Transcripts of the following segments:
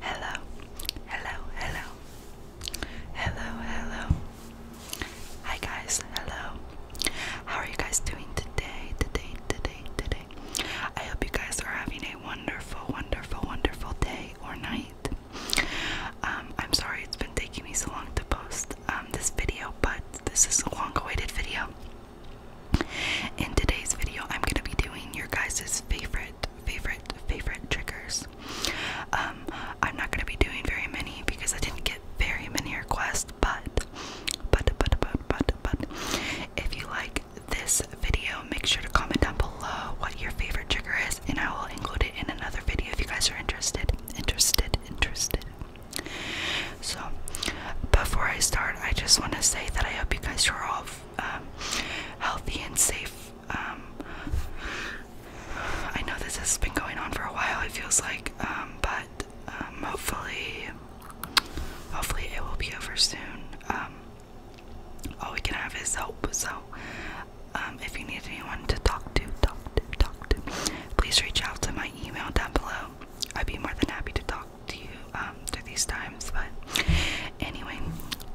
Hello, hello, hello, hello, hello. Hi guys, hello. How are you guys doing today? Today, today, today. I hope you guys are having a wonderful, wonderful, wonderful day or night. Um, I'm sorry it's been taking me so long to post um, this video, but this is a long-awaited video. In today's video, I'm gonna be doing your guys' favorite, favorite, favorite triggers. Um, I'm not gonna be doing very many because I didn't get very many requests, but, but, but, but, but, but, if you like this video, make sure to comment down below what your favorite trigger is, and I will include it in another video if you guys are interested, interested, interested. So, before I start, I just want to say that I hope you guys are all um, healthy and safe. Um, I know this has been going on for a while. It feels like, um, but hopefully, hopefully it will be over soon. all we can have is hope. So, if you need anyone to talk to, talk to, talk to, please reach out to my email down below. I'd be more than happy to talk talk to you um through these times, but anyway,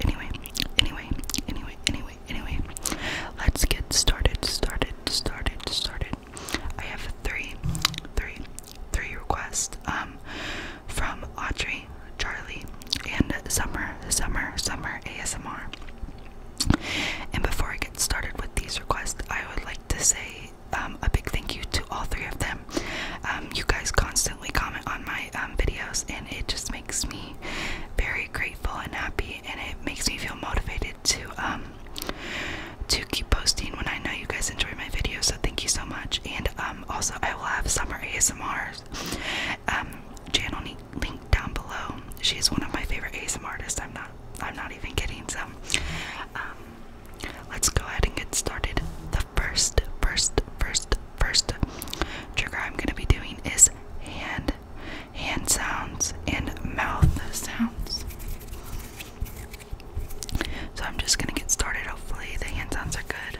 anyway, anyway, anyway, anyway, anyway. Let's get started, started, started, started. I have three, three, three requests um from Audrey, Charlie, and Summer, Summer, Summer ASMR. And before I get started with these requests, I would like to say um, a big thank you to all three of them. Um, you guys constantly comment on my um, videos, and it just makes me very grateful and happy, and it makes me feel motivated to to keep posting when I know you guys enjoy my videos. So thank you so much. And also, I will have summer ASMRs channel link down below. She is one of my favorite ASMR artists. I'm not. I'm not even kidding. So. Let's go ahead and get started. The first, first, first, first trigger I'm going to be doing is hand, hand sounds, and mouth sounds. So I'm just going to get started. Hopefully, the hand sounds are good.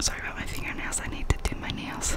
Sorry about my fingernails. I need to do my nails.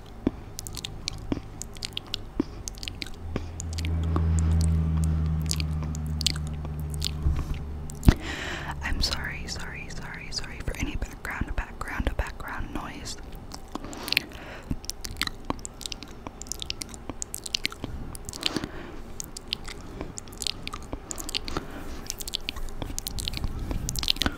I'm sorry, sorry, sorry, sorry for any background, background, background noise.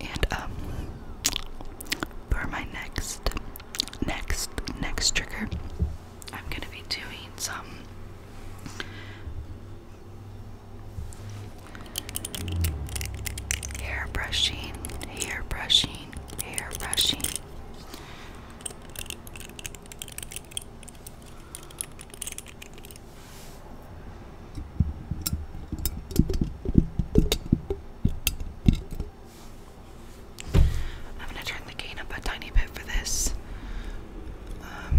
And um, for my next next next trigger I'm gonna be doing some hair brushing, hair brushing, brushing, I'm going to turn the gain up a tiny bit for this. Um,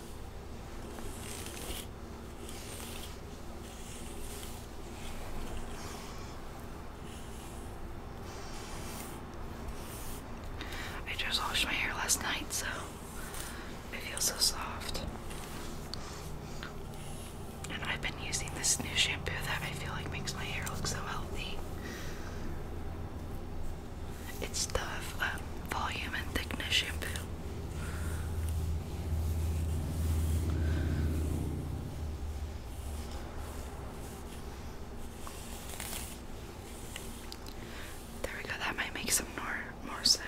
I just washed my hair last night, so it feels so soft. And I've been using this new shampoo that I feel like makes my hair look so healthy. It's the um, volume and thickness feel. There we go. That might make some more more sound.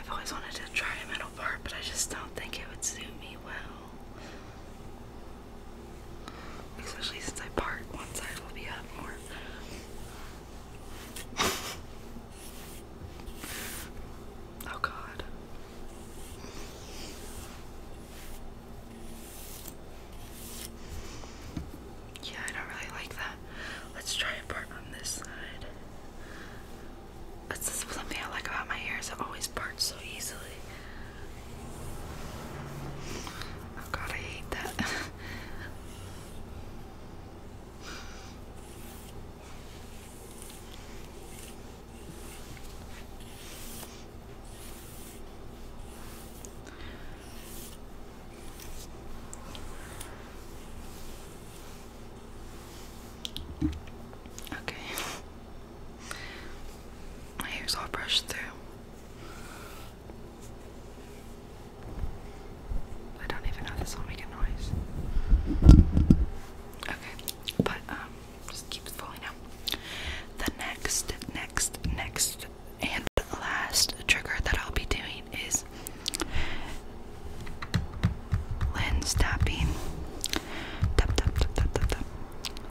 I've always wanted to try a metal bar, but I just don't think it would suit me well. Especially since I part, one side will be up more. oh god. Yeah, I don't really like that. Let's try a part on this side. That's something I like about my hair is it always parts so easily. Oh god, I hate that. Okay. My hair's all brushed through. I don't even know this will make a noise. Okay, but um, just keeps falling out. The next, next, next, and last trigger that I'll be doing is lens tapping. tap, tap, tap, tap, tap.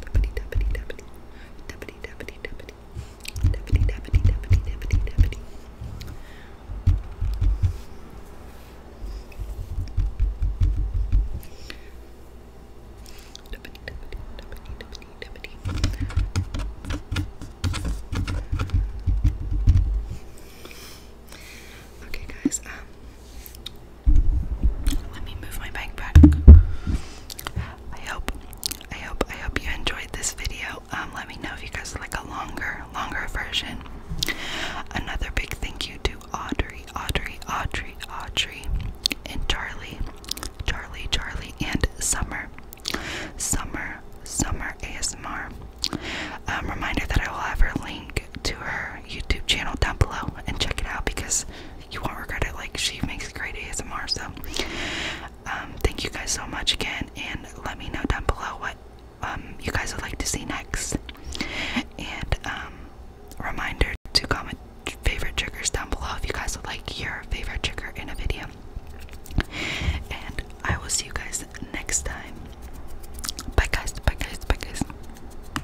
Deputy, deputy, deputy. Deputy, deputy, deputy. Deputy, deputy, deputy, deputy, deputy. Deputy, deputy, deputy, deputy, deputy. Okay, guys. Um, let me move my bike back. I hope, I hope, I hope you enjoyed this video. Um, let me know if you guys like a longer, longer version. Another big thank you to Audrey, Audrey, Audrey, Audrey, and Charlie, Charlie, Charlie, and Summer, Summer, Summer ASMR. Um, reminder that I will have her link to her YouTube channel down below and check it out because you won't regret it. Like she makes great ASMR. So um, thank you guys so much again, and let me know down below what um, you guys would like to see next. And um, reminder to comment favorite triggers down below if you guys would like your favorite trigger in a video. And I will see you guys next time. Bye guys. Bye guys. Bye guys.